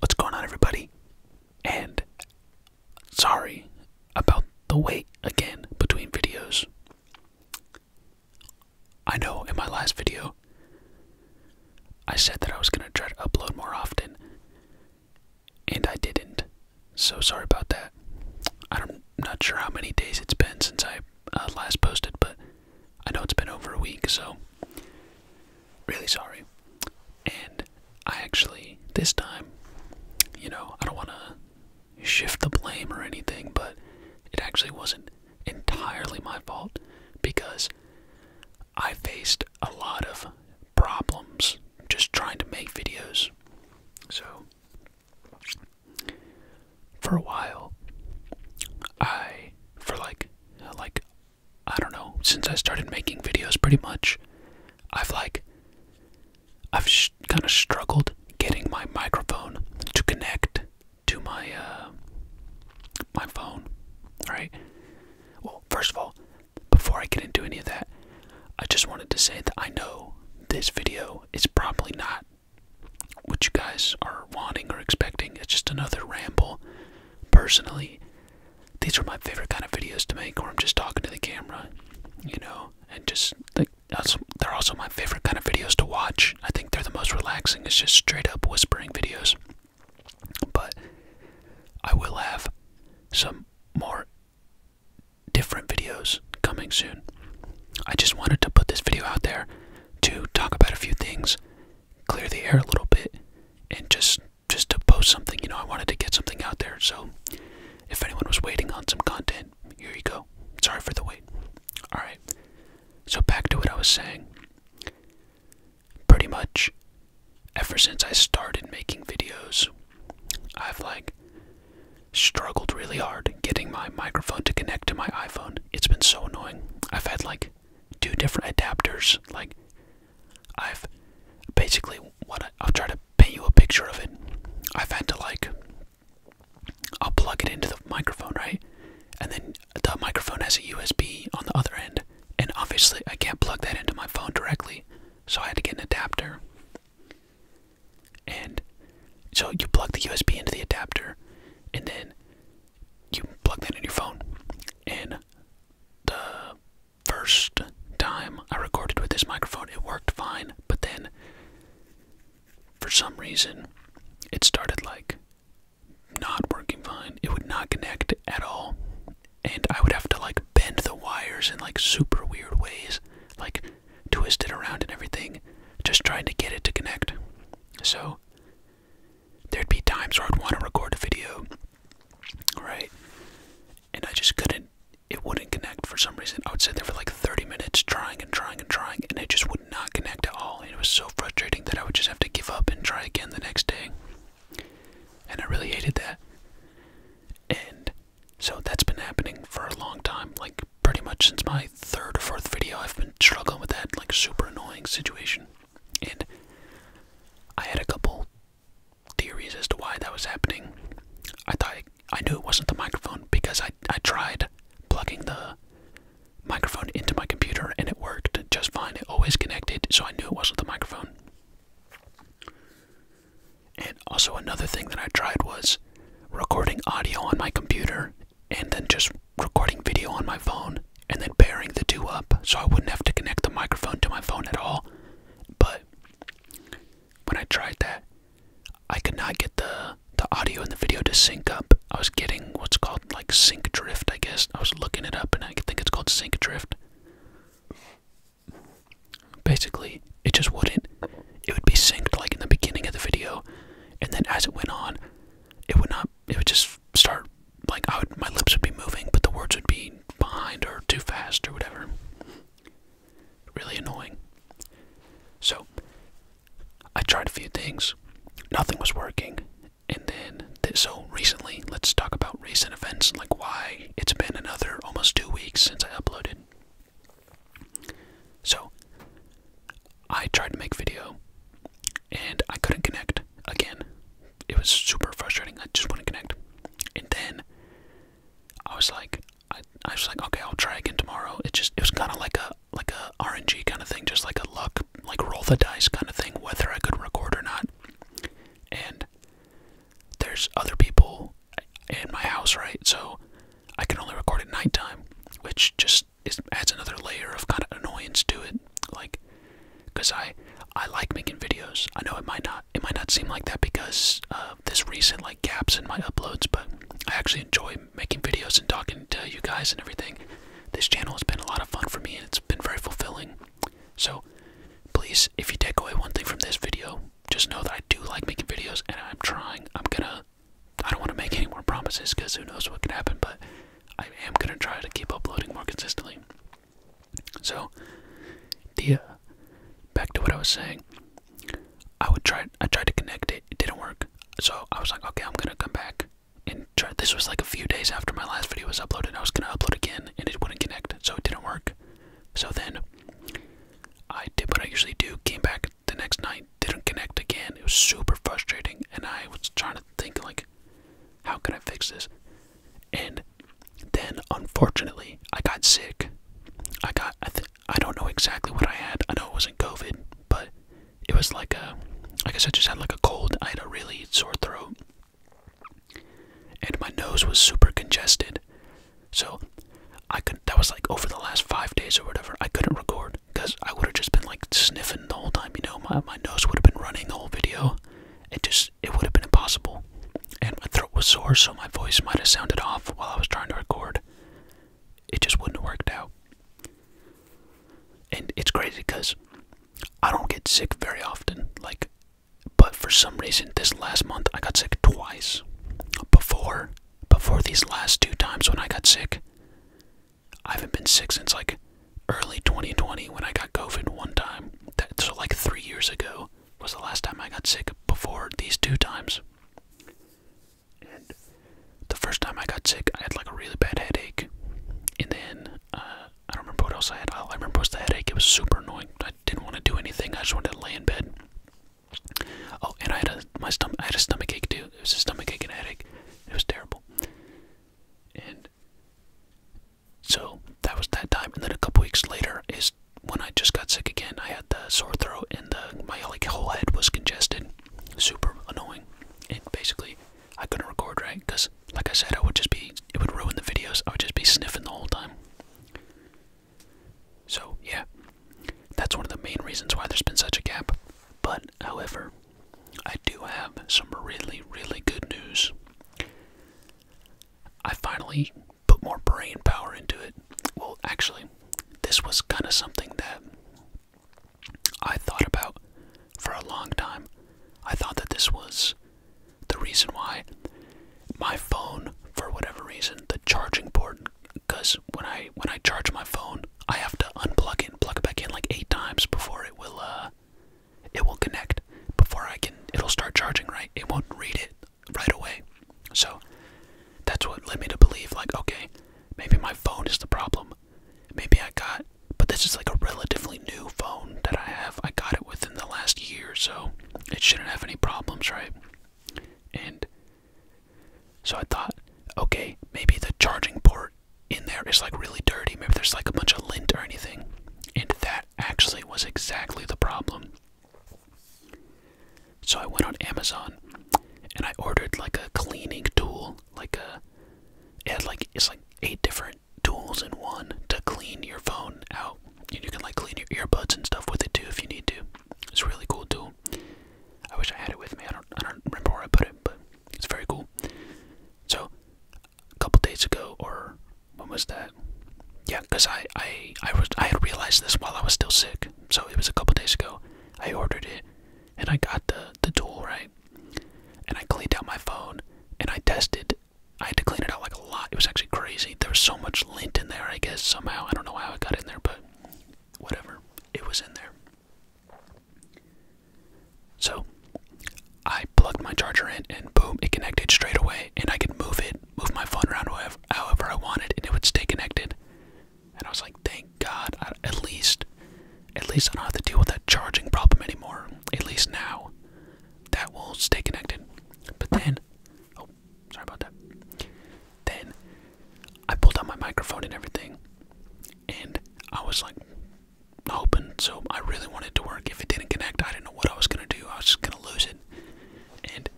What's going on, everybody? And sorry about the wait again between videos. I know in my last video I said that I was going to try to upload more often, and I didn't. So sorry about that. I'm not sure how many days it's been since I uh, last posted, but I know it's been over a week, so really sorry. And I actually, this time, you know, I don't want to shift the blame or anything, but it actually wasn't entirely my fault because I faced a lot of problems just trying to make videos. So, for a while, I for like like I don't know, since I started making videos pretty much, I've like I've kind of struggled getting my microphone to connect to my uh, my phone, right? Well, first of all, before I get into any of that, I just wanted to say that I know this video is probably not what you guys are wanting or expecting. It's just another ramble. Personally, these are my favorite kind of videos to make where I'm just talking to the camera, you know, and just like they're also my favorite kind of videos to watch. I think they're the most relaxing. It's just straight up whispering videos. But I will have some more different videos coming soon. I just wanted to put this video out there to talk about a few things, clear the air a little bit, and just just to post something. You know, I wanted to get something out there. So, if anyone was waiting on some content, here you go. Sorry for the wait. All right. So back to what I was saying. Pretty much, ever since I started making videos, I've like struggled really hard getting my microphone to connect to my iPhone. It's been so annoying. I've had like two different adapters. Like, I've basically what I, will try to paint you a picture of it. I've had to like, I'll plug it into the microphone, right? And then the microphone has a USB on the other end. And obviously, I can't plug that into my phone directly. So I had to get an adapter and so you plug the USB into the adapter, and then you plug that in your phone. And the first time I recorded with this microphone, it worked fine, but then for some reason, it started like not working fine. It would not connect at all, and I would have to like bend the wires in like super weird ways, like twisted around and everything, just trying to get it to connect. So, there'd be times where I'd want to record a video, right? And I just couldn't, it wouldn't connect for some reason. I would sit there for like 30 minutes trying and trying and trying, and it just would not connect at all. it was so frustrating that I would just have to give up and try again the next day. And I really hated that. And so that's been happening for a long time, like pretty much since my third or fourth video, I've been struggling with that like super annoying situation. And I had a couple theories as to why that was happening. I thought I knew it wasn't the microphone because I I tried plugging the microphone into my computer and it worked just fine. It always connected, so I knew it wasn't the microphone. And also another thing that I tried was recording audio on my computer and then just recording video on my phone and then pairing the two up so I wouldn't have to connect the microphone to my phone at all. But when I tried that, I could not get the the audio and the video to sync up. I was getting what's called like sync drift, I guess. I was looking it up and I think it's called sync drift. Basically, it just wouldn't. It would be synced like in the beginning of the video, and then as it went on, it would not. It would just start like I would. My lips would be moving, but the words would be behind or too fast or whatever. Really annoying. So I tried a few things. Nothing was working, and then so recently, let's talk about recent events, like why it's been another almost two weeks since I uploaded. So, I tried to make video and I couldn't connect again. It was super frustrating. I just wouldn't connect. And then I was like I, was like, okay, I'll try again tomorrow. It just it was kinda like a like a RNG kind of thing, just like a luck like roll the dice kind of thing, whether I could record or not. And there's other people in my house, right? So I can only record at nighttime, which just is, adds another layer of kind of annoyance to it. Like, cause I I like making videos. I know it might not it might not seem like that because of this recent like gaps in my uploads, but I actually enjoy making videos and talking to you guys and everything. This channel has been a lot of fun for me and it's been very fulfilling. So, please, if you take away one thing from this video, just know that I do like making videos and I'm trying. I'm gonna, I don't want to make any more promises because who knows what could happen, but I am gonna try to keep uploading more consistently. So, the, uh, back to what I was saying, I would try, I tried to connect it, it didn't work. So I was like, okay, I'm gonna come back and try. This was like a few days after my last video was uploaded. I was gonna upload again and it wouldn't connect, so it didn't work. So then I did what I usually do, came back the next night, didn't connect again. It was super frustrating, and I was trying to think, like, how can I fix this? And then, unfortunately, I got sick. I got, I, I don't know exactly what I had. I know it wasn't COVID, but it was like a, I guess I just had like a cold. I had a really sore throat. And my nose was super congested. So I could that was like over the last five days or whatever. I couldn't record because I would have just been like sniffing the whole time. You know, my my nose would have been running the whole video. It just it would have been impossible. And my throat was sore, so my voice might have sounded off while I was trying to record. It just wouldn't have worked out. And it's crazy because I don't get sick very often. Like but for some reason, this last month I got sick twice. Before, before these last two times when I got sick, I haven't been sick since like early 2020 when I got COVID one time. That, so like three years ago was the last time I got sick. Before these two times, and the first time I got sick, I had like a really bad headache, and then uh, I don't remember what else I had. All I remember was the headache. It was super annoying. I didn't want to do anything. I just wanted to lay in bed. Oh, and I had a my stomach. I had a stomach ache too. It was a stomach ache and headache. It was terrible. And so that was that time. And then a couple weeks later is when I just got sick again. I had the sore throat and the my like whole head was congested. Super annoying. And basically, I couldn't record right because, like I said, I would just be. It would ruin the videos. I would just be sniffing the whole time. So, yeah, that's one of the main reasons why there's been such a gap. But, however, I do have some really, really good news. I finally put more brain power into it. Well, actually, this was kind of something that I thought about for a long time. I thought that this was the reason why my phone, for whatever reason, the charging port, because when I when I charge my phone, I have to unplug it and plug it back in like eight times before it will uh it will connect before I can it'll start charging right. It won't read it right away. So that's what led me to believe like okay, maybe my phone is the problem. Maybe I got but this is like a relatively new phone that I have. I got it within the last year, or so it shouldn't have any problems, right? And so I thought, okay, maybe the charging port in there is like really dirty. Maybe there's like a bunch of lint or anything. And that actually was exactly the problem. So I went on Amazon and I ordered like a cleaning tool, like a uh, it had like it's like eight different tools in one to clean your phone out. And you can like clean your earbuds and stuff with it too if you need to. It's really cool tool. I wish I had it with me. I don't I don't remember where I put it, but it's very cool. So a couple days ago or when was that? Yeah, because I, I I was I had realized this while I was still sick. So it was a couple days ago. I ordered it and I got the the tool, right? And I cleaned out my phone and I tested I had to clean it out like a lot. It was actually crazy. There was so much lint in there, I guess, somehow. I don't know how it got in there, but whatever. It was in there. So I plugged my charger in, and boom, it connected straight away. And I could move it, move my phone around however, I wanted, and it would stay connected. And I was like, thank God, at least, at least I don't have to deal with that charging problem anymore. At least now, that will stay connected. But then, oh, sorry about that. Then I pulled out my microphone and everything, and I was like hoping. So I really wanted to work. If it didn't connect, I didn't know what I was gonna do. I was just gonna lose it, and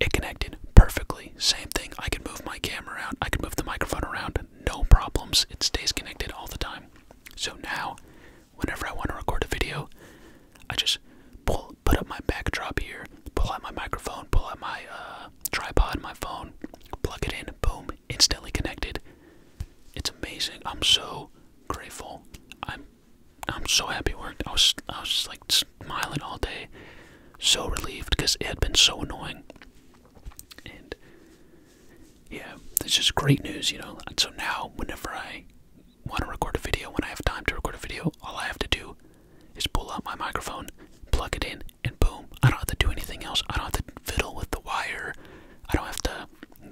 it connected perfectly. Same thing. I can move my camera around. I can move the microphone around. No problems. It stays connected all the time. So now whenever I want to record a video, I just pull, put up my backdrop here, pull out my microphone, pull out my uh, tripod, my phone, plug it in, boom, instantly connected. It's amazing. I'm so grateful. I'm, I'm so happy. Worked. I was, I was just like smiling all day, so relieved because it had been so annoying yeah, this is great news, you know. so now, whenever I want to record a video, when I have time to record a video, all I have to do is pull out my microphone, plug it in, and boom. I don't have to do anything else. I don't have to fiddle with the wire. I don't have to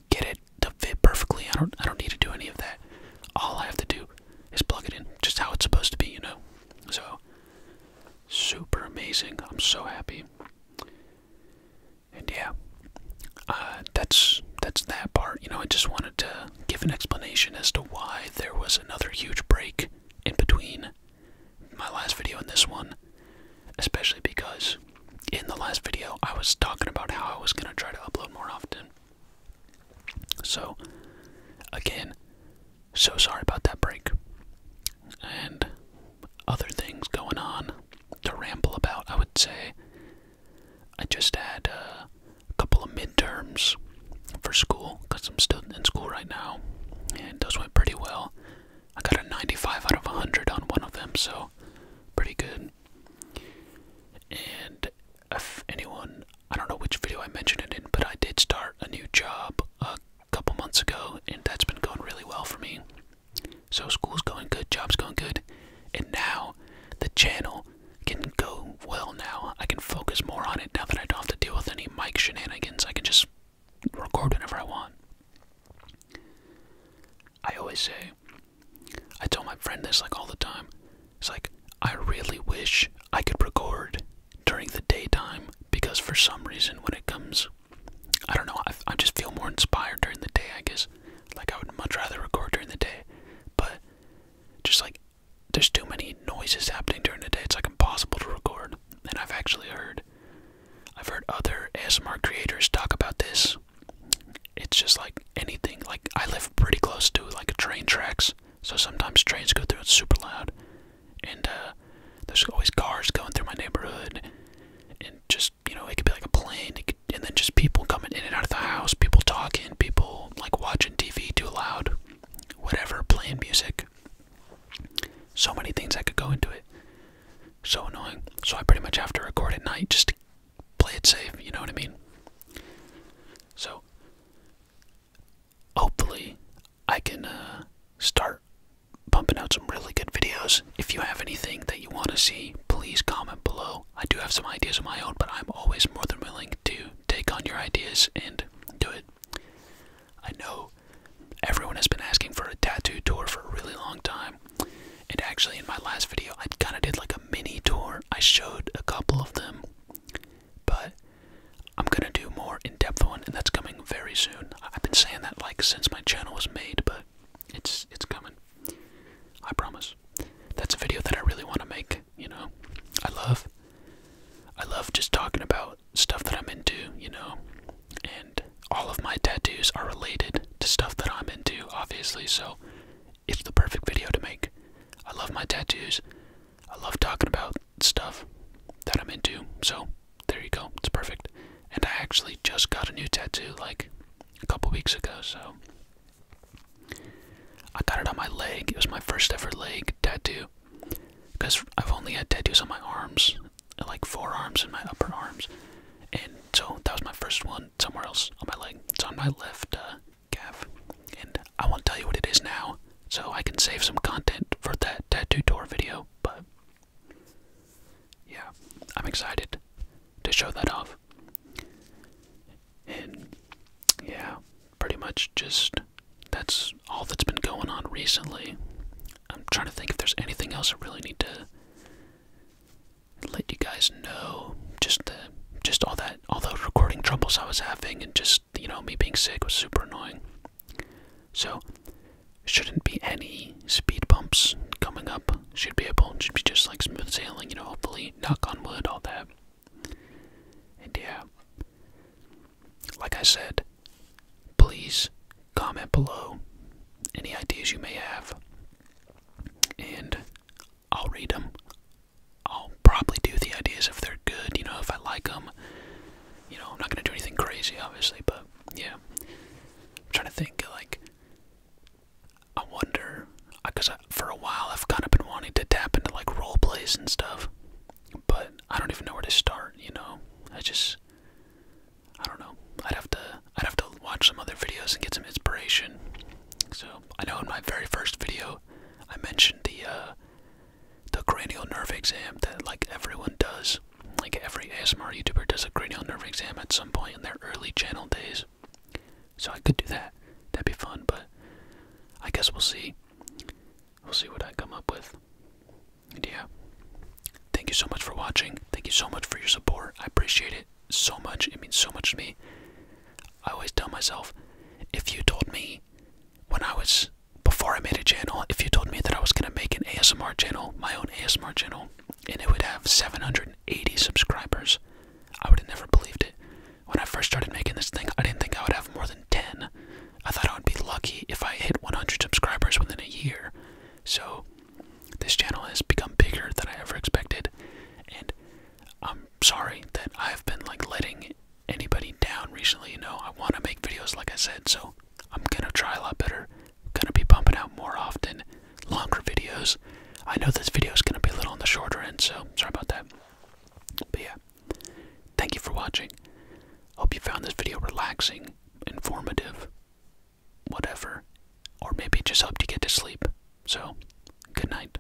get it to fit perfectly. I don't. I don't need to do any of that. All I have to do is plug it in, just how it's supposed to be, you know. So super amazing. I'm so happy. And yeah, uh, that's that's that part. You know, I just wanted to give an explanation as to why there was another huge break in between my last video and this one, especially because in the last video I was talking about how I was gonna try to upload more often. So, again, so sorry about that break. And other things going on to ramble about, I would say. I just had uh, a couple of midterms for school because I'm still in school right now, and those went pretty well. I got a 95 out of 100 on one of them, so pretty good. And if anyone, I don't know which video I mentioned it in, but I did start a new job a couple months ago, and that's been going really well for me. So school's going good, job's going good, and now the channel can go well now. I can focus more on it now that I don't have to deal with any mic shenanigans. I can just record whenever I want. I always say, I tell my friend this like all the time. It's like, I really wish I could record during the daytime because for some reason when it comes I don't know. I, I just feel more inspired during the day, I guess. Like, I would much rather record during the day, but just like there's too many noises happening during the day, it's like impossible to record. And I've actually heard, I've heard other ASMR creators talk about this. It's just like anything. Like, I live pretty close to like a train tracks, so sometimes trains go through It's super loud and uh, there's always cars going through my neighborhood, and just you know it could be like a plane, and then just people coming in and out of the house, people talking, people like watching TV too loud, whatever, playing music. So many things I could go into it. So annoying. So I pretty much have to record at night just to play it safe. You know what I mean? So hopefully I can uh, start pumping out some really good videos. If you have anything that you want to see, please comment below. I do have some ideas of my own, but I'm always more than willing to take on your ideas and do it. I know everyone has been asking for a tattoo tour for a really long time. And actually, in my last video, I kind of did like a mini tour. I showed a couple of them, but I'm gonna do more in-depth one, and that's coming very soon. I've been saying that like since my channel was made, but it's it's coming. I promise. That's a video that I really want to make. You know, I love, I love just talking about stuff that I'm into. You know, and all of my tattoos are related to stuff that I'm into, obviously. So it's the perfect video to make. I love my tattoos. I love talking about stuff that I'm into. So there you go. It's perfect. And I actually just got a new tattoo like a couple weeks ago. So I got it on my leg. It was my first ever leg tattoo. Because I've only had tattoos on my arms, like forearms and my upper arms. And so that was my first one somewhere else on my leg. It's on my left uh, calf. And I won't tell you what it is now, so I can save some content for that tattoo tour video, but yeah, I'm excited to show that off. And yeah, pretty much just that's all that's been going on recently. I'm trying to think if there's anything else I really need to let you guys know. Just the just all that all the recording troubles I was having and just you know me being sick was super annoying. So, shouldn't be any speed bumps coming up. Should be able, should be just like smooth sailing, you know, hopefully, knock on wood, all that. And yeah, like I said, please comment below any ideas you may have, and I'll read them. I'll probably do the ideas if they're good, you know, if I like them. You know, I'm not gonna do anything crazy, obviously, but yeah. I'm trying to think, like, I wonder, because for a while I've kind of been wanting to tap into like role plays and stuff, but I don't even know where to start. You know, I just, I don't know. I'd have to, I'd have to watch some other videos and get some inspiration. So I know in my very first video, I mentioned the uh, the cranial nerve exam that like everyone does. Like every ASMR YouTuber does a cranial nerve exam at some point in their early channel days. So I could do that. That'd be fun, but I guess we'll see. We'll see what I come up with. And yeah. Thank you so much for watching. Thank you so much for your support. I appreciate it so much. It means so much to me. I always tell myself, if you taught me when I was before I made a channel, if you told me that I was gonna make an ASMR channel, my own ASMR channel, and it would have 780 subscribers, I would have never believed it. When I first started making this thing, I didn't think I would have more than 10. I thought I would be lucky if I hit 100 subscribers within a year. So, this channel has become bigger than I ever expected, and I'm sorry that I've been like letting anybody down recently. You know, I want to make videos like I said, so I'm gonna try a lot better. gonna be pumping out more often, longer videos. I know this video is gonna be a little on the shorter end, so sorry about that. But yeah, thank you for watching. Hope you found this video relaxing, informative, whatever, or maybe it just helped you get to sleep. So, good night.